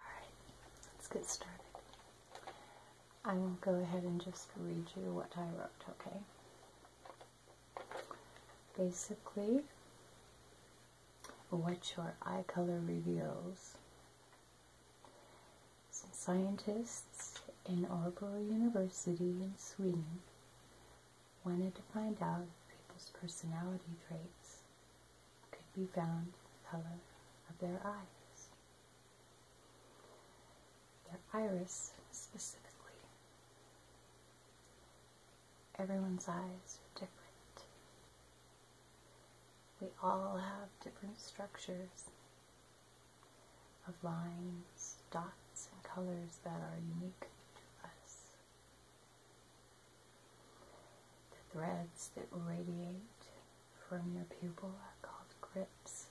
Alright, let's get started. I will go ahead and just read you what I wrote, okay? Basically, what your eye color reveals. Some scientists in Örebro University in Sweden wanted to find out people's personality traits could be found in the color of their eyes. Their iris, specifically. Everyone's eyes are different. We all have different structures of lines, dots, and colors that are unique to us. The threads that radiate from your pupil are called grips.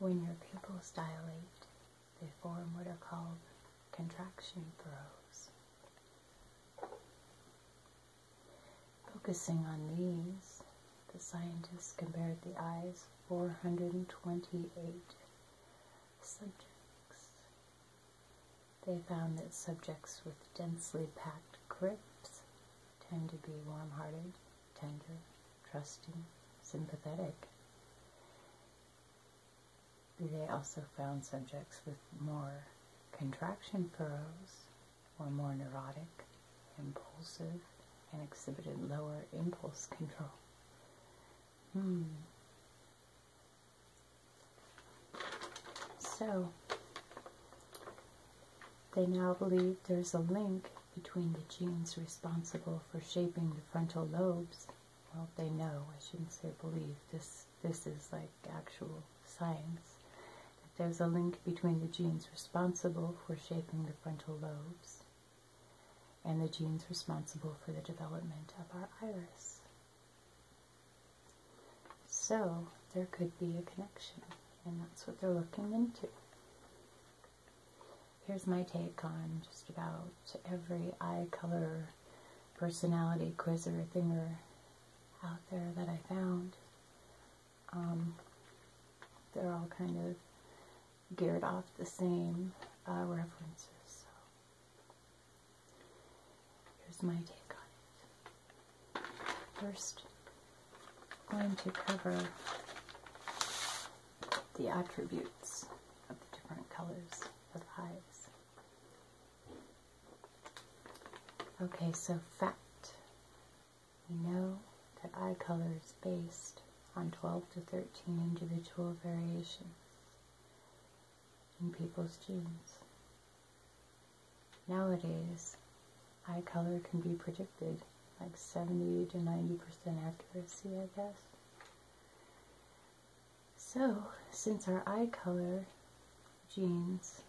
When your pupils dilate, they form what are called contraction throes. Focusing on these, the scientists compared the eyes of 428 subjects they found that subjects with densely packed crypts tend to be warm-hearted, tender, trusting, sympathetic. They also found subjects with more contraction furrows were more neurotic, impulsive, and exhibited lower impulse control. Hmm. So they now believe there's a link between the genes responsible for shaping the frontal lobes. Well, they know, I shouldn't say believe, this, this is like actual science. That there's a link between the genes responsible for shaping the frontal lobes and the genes responsible for the development of our iris. So there could be a connection, and that's what they're looking into. Here's my take on just about every eye color personality quiz or thinger out there that I found. Um, they're all kind of geared off the same uh, references. Here's my take on it. First, I'm going to cover the attributes of the different colors of eyes. Okay, so fact. We know that eye color is based on 12 to 13 individual variations in people's genes. Nowadays, eye color can be predicted like 70 to 90% accuracy, I guess. So, since our eye color genes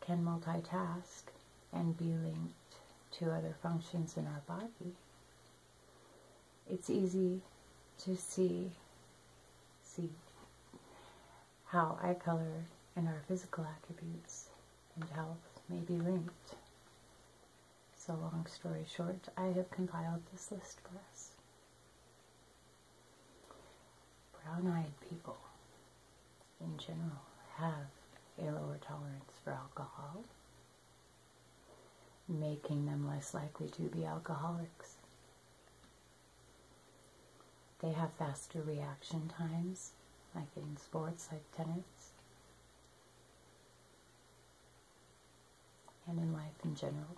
can multitask and be linked to other functions in our body, it's easy to see, see how eye color and our physical attributes and health may be linked. So long story short, I have compiled this list for us. Brown-eyed people, in general, have a lower tolerance for alcohol, making them less likely to be alcoholics. They have faster reaction times, like in sports, like tennis, and in life in general.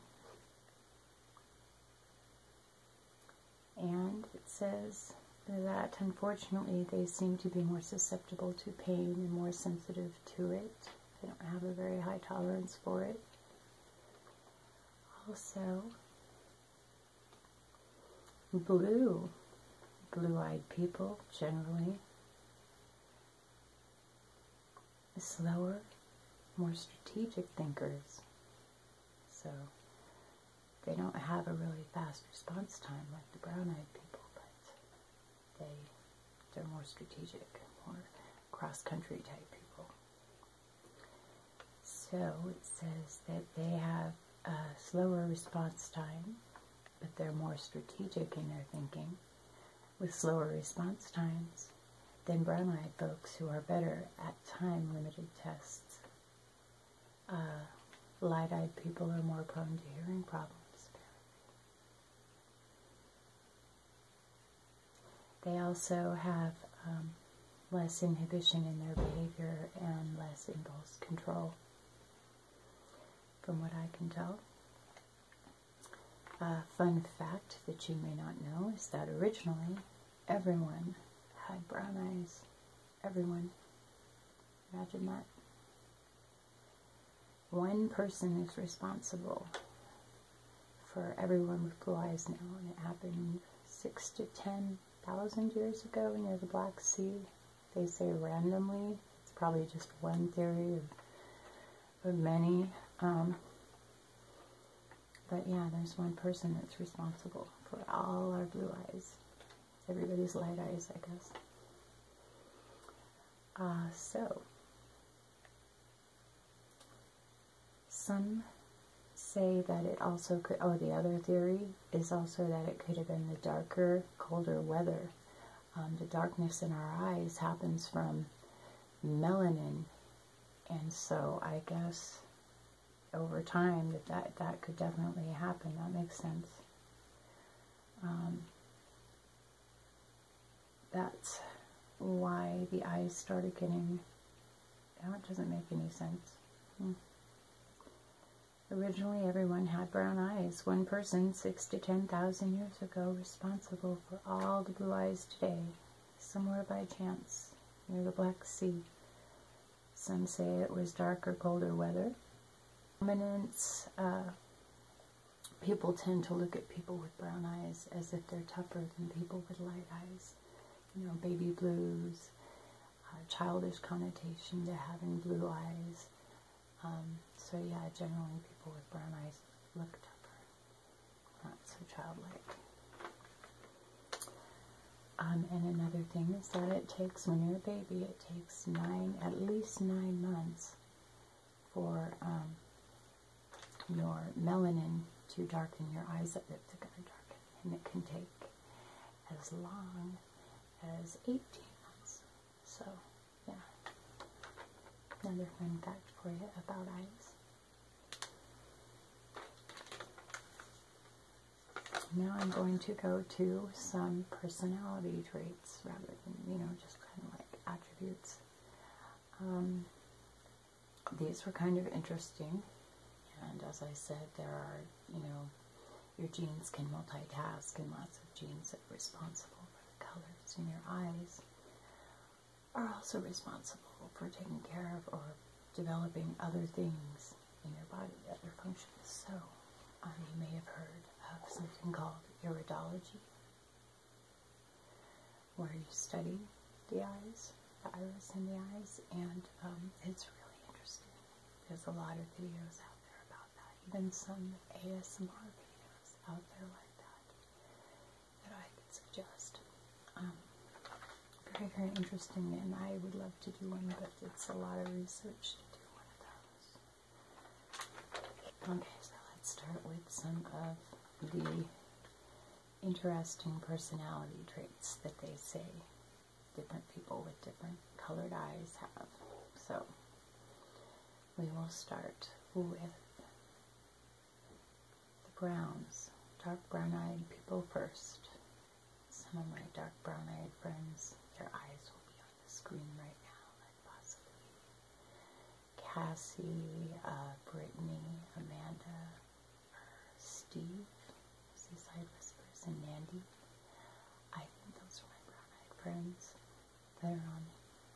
And it says that unfortunately they seem to be more susceptible to pain and more sensitive to it. They don't have a very high tolerance for it. Also, blue, blue-eyed people generally, are slower, more strategic thinkers. So they don't have a really fast response time like the brown-eyed people, they, they're more strategic, more cross-country type people. So it says that they have a slower response time, but they're more strategic in their thinking, with slower response times than brown-eyed folks who are better at time-limited tests. Uh, light-eyed people are more prone to hearing problems, they also have um, less inhibition in their behavior and less impulse control, from what I can tell. A fun fact that you may not know is that originally everyone had brown eyes. Everyone. Imagine that. One person is responsible for everyone with blue eyes now, it happened six to ten thousand years ago near the Black Sea. They say randomly. It's probably just one theory of, many. Um, but yeah, there's one person that's responsible for all our blue eyes. Everybody's light eyes, I guess. Uh, so, some say that it also could, oh, the other theory is also that it could have been the darker, colder weather. Um, the darkness in our eyes happens from melanin. And so I guess over time that that, that could definitely happen. That makes sense. Um, that's why the eyes started getting, oh, it doesn't make any sense. Hmm. Originally, everyone had brown eyes. One person, six to 10,000 years ago, responsible for all the blue eyes today, somewhere by chance, near the Black Sea. Some say it was darker, colder weather. Dominance uh, people tend to look at people with brown eyes as if they're tougher than people with light eyes. You know, baby blues, uh, childish connotation to having blue eyes. Um, so yeah, generally people with brown eyes look tougher, not so childlike. Um, and another thing is that it takes, when you're a baby, it takes nine, at least nine months for um, your melanin to darken your eyes up. It's going and it can take as long as 18 months. So, yeah, another fun fact for you about eyes. Now I'm going to go to some personality traits rather than, you know, just kind of like attributes. Um, these were kind of interesting. And as I said, there are, you know, your genes can multitask and lots of genes that are responsible for the colors in your eyes are also responsible for taking care of or developing other things in your body, that they're functions. So you may have heard of something called iridology, where you study the eyes, the iris in the eyes, and um, it's really interesting. There's a lot of videos out there about that, even some ASMR videos out there like that that I could suggest. Um, very, very interesting, and I would love to do one, but it's a lot of research to do one of those. Okay, so let's start with some of the interesting personality traits that they say different people with different colored eyes have. So we will start with the browns, dark brown-eyed people first. Some of my dark brown-eyed friends, their eyes will be on the screen right now possibly Cassie, uh, Brittany, Amanda, Steve, Seaside Whispers, and Mandy. I think those are my brown-eyed friends that are on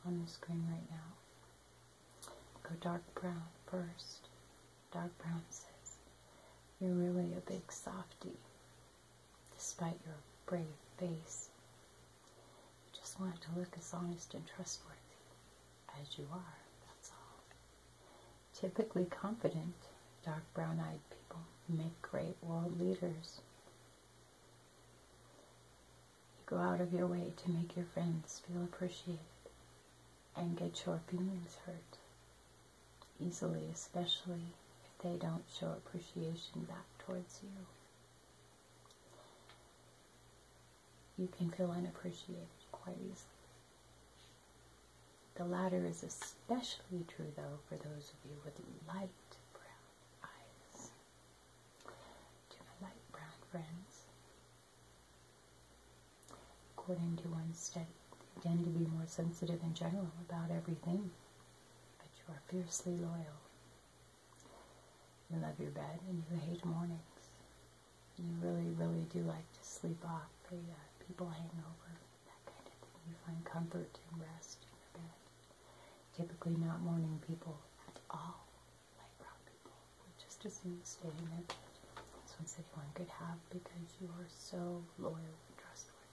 on the screen right now. Go dark brown first. Dark brown says, "You're really a big softie." despite your brave face. You just want to look as honest and trustworthy as you are, that's all. Typically confident, dark brown eyed people make great world leaders. You go out of your way to make your friends feel appreciated and get your feelings hurt easily, especially if they don't show appreciation back towards you. You can feel unappreciated quite easily. The latter is especially true, though, for those of you with light brown eyes. To my light brown friends, according to one study, they tend to be more sensitive in general about everything but you are fiercely loyal. You love your bed and you hate mornings. You really, really do like to sleep off the uh, people hangover, that kind of thing. You find comfort and rest in your bed. Typically not morning people at all. Light brown people just as soon stay in their bed. So one said one could have because you are so loyal and trustworthy.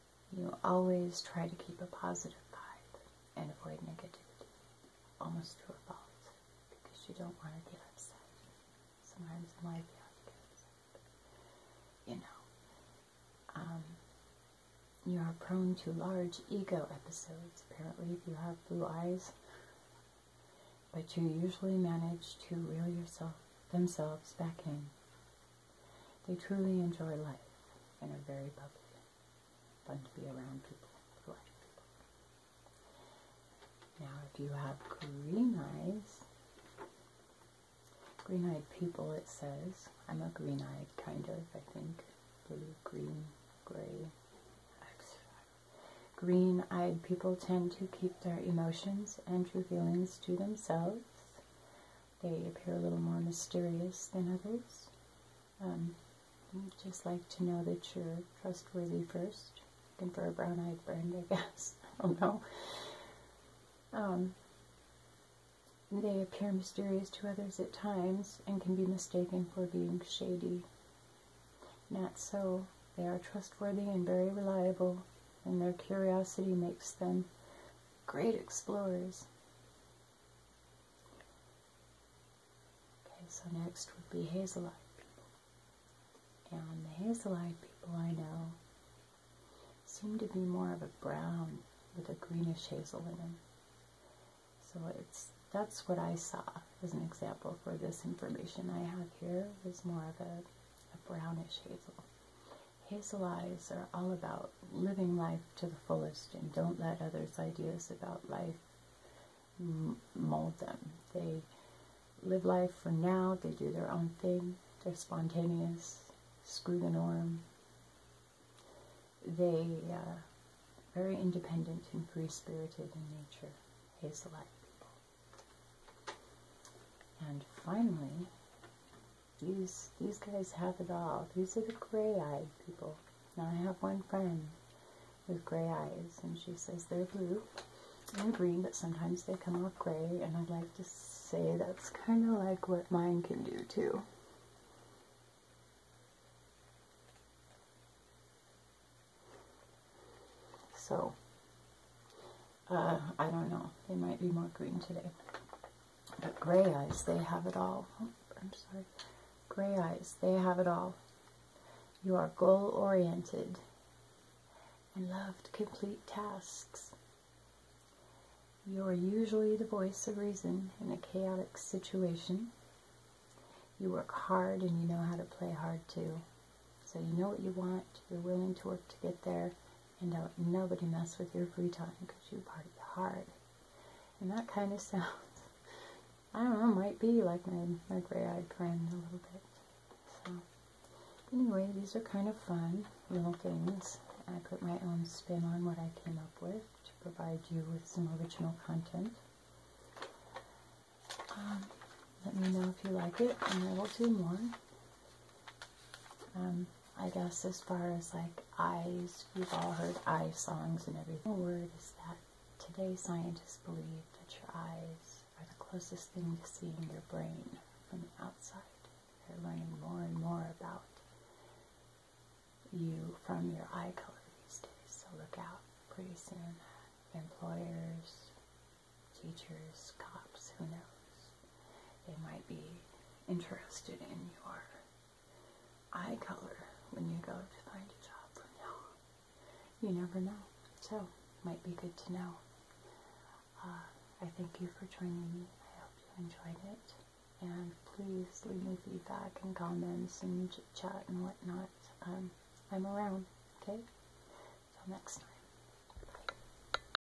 You always try to keep a positive vibe and avoid negativity almost to a fault because you don't want to get upset. Sometimes in life you You know. Um, you are prone to large ego episodes, apparently, if you have blue eyes. But you usually manage to reel yourself themselves back in they truly enjoy life and are very bubbly. Fun to be around people Now, if you have green eyes, green-eyed people, it says. I'm a green-eyed, kind of, I think. Blue, green, gray. Green-eyed people tend to keep their emotions and true feelings to themselves. They appear a little more mysterious than others. Um, just like to know that you're trustworthy first. Looking for a brown-eyed friend, I guess. I don't know. Um, they appear mysterious to others at times and can be mistaken for being shady. Not so. They are trustworthy and very reliable, and their curiosity makes them great explorers. Okay, so next would be hazel-eyed people. And the hazel-eyed people I know seem to be more of a brown with a greenish hazel in them. So it's that's what I saw as an example for this information I have here is more of a, a brownish hazel. Hazel eyes are all about living life to the fullest and don't let others' ideas about life mold them. They live life for now, they do their own thing, they're spontaneous, screw the norm. They are uh, very independent and free-spirited in nature, hazel-eyed And finally, these these guys have it all. These are the gray-eyed people. Now I have one friend with gray eyes, and she says they're blue and green, but sometimes they come off gray, and I'd like to say that's kind of like what mine can do too. So, uh, I don't know. They might be more green today. But gray eyes, they have it all. Oh, I'm sorry. Gray eyes, they have it all. You are goal oriented and love to complete tasks. You are usually the voice of reason in a chaotic situation. You work hard and you know how to play hard too. So you know what you want, you're willing to work to get there, and don't nobody mess with your free time because you party hard. And that kind of sounds, I don't know, might be like my, gray-eyed friend a little bit. So, anyway, these are kind of fun little things. I put my own spin on what I came up with to provide you with some original content. Um, let me know if you like it, and I will do more. Um, I guess as far as like eyes, we've all heard eye songs and everything. The word is that today scientists believe that your eyes are the closest thing to seeing your brain from the outside. They're learning more and more about you from your eye color these days, so look out pretty soon. Employers, teachers, cops, who knows. They might be interested in your eye color when you go to find a job from now You never know. So, might be good to know. Uh, I thank you for joining me. I hope you enjoyed it. And please leave me feedback and comments and chit chat and whatnot. Um, I'm around, okay? Till next time.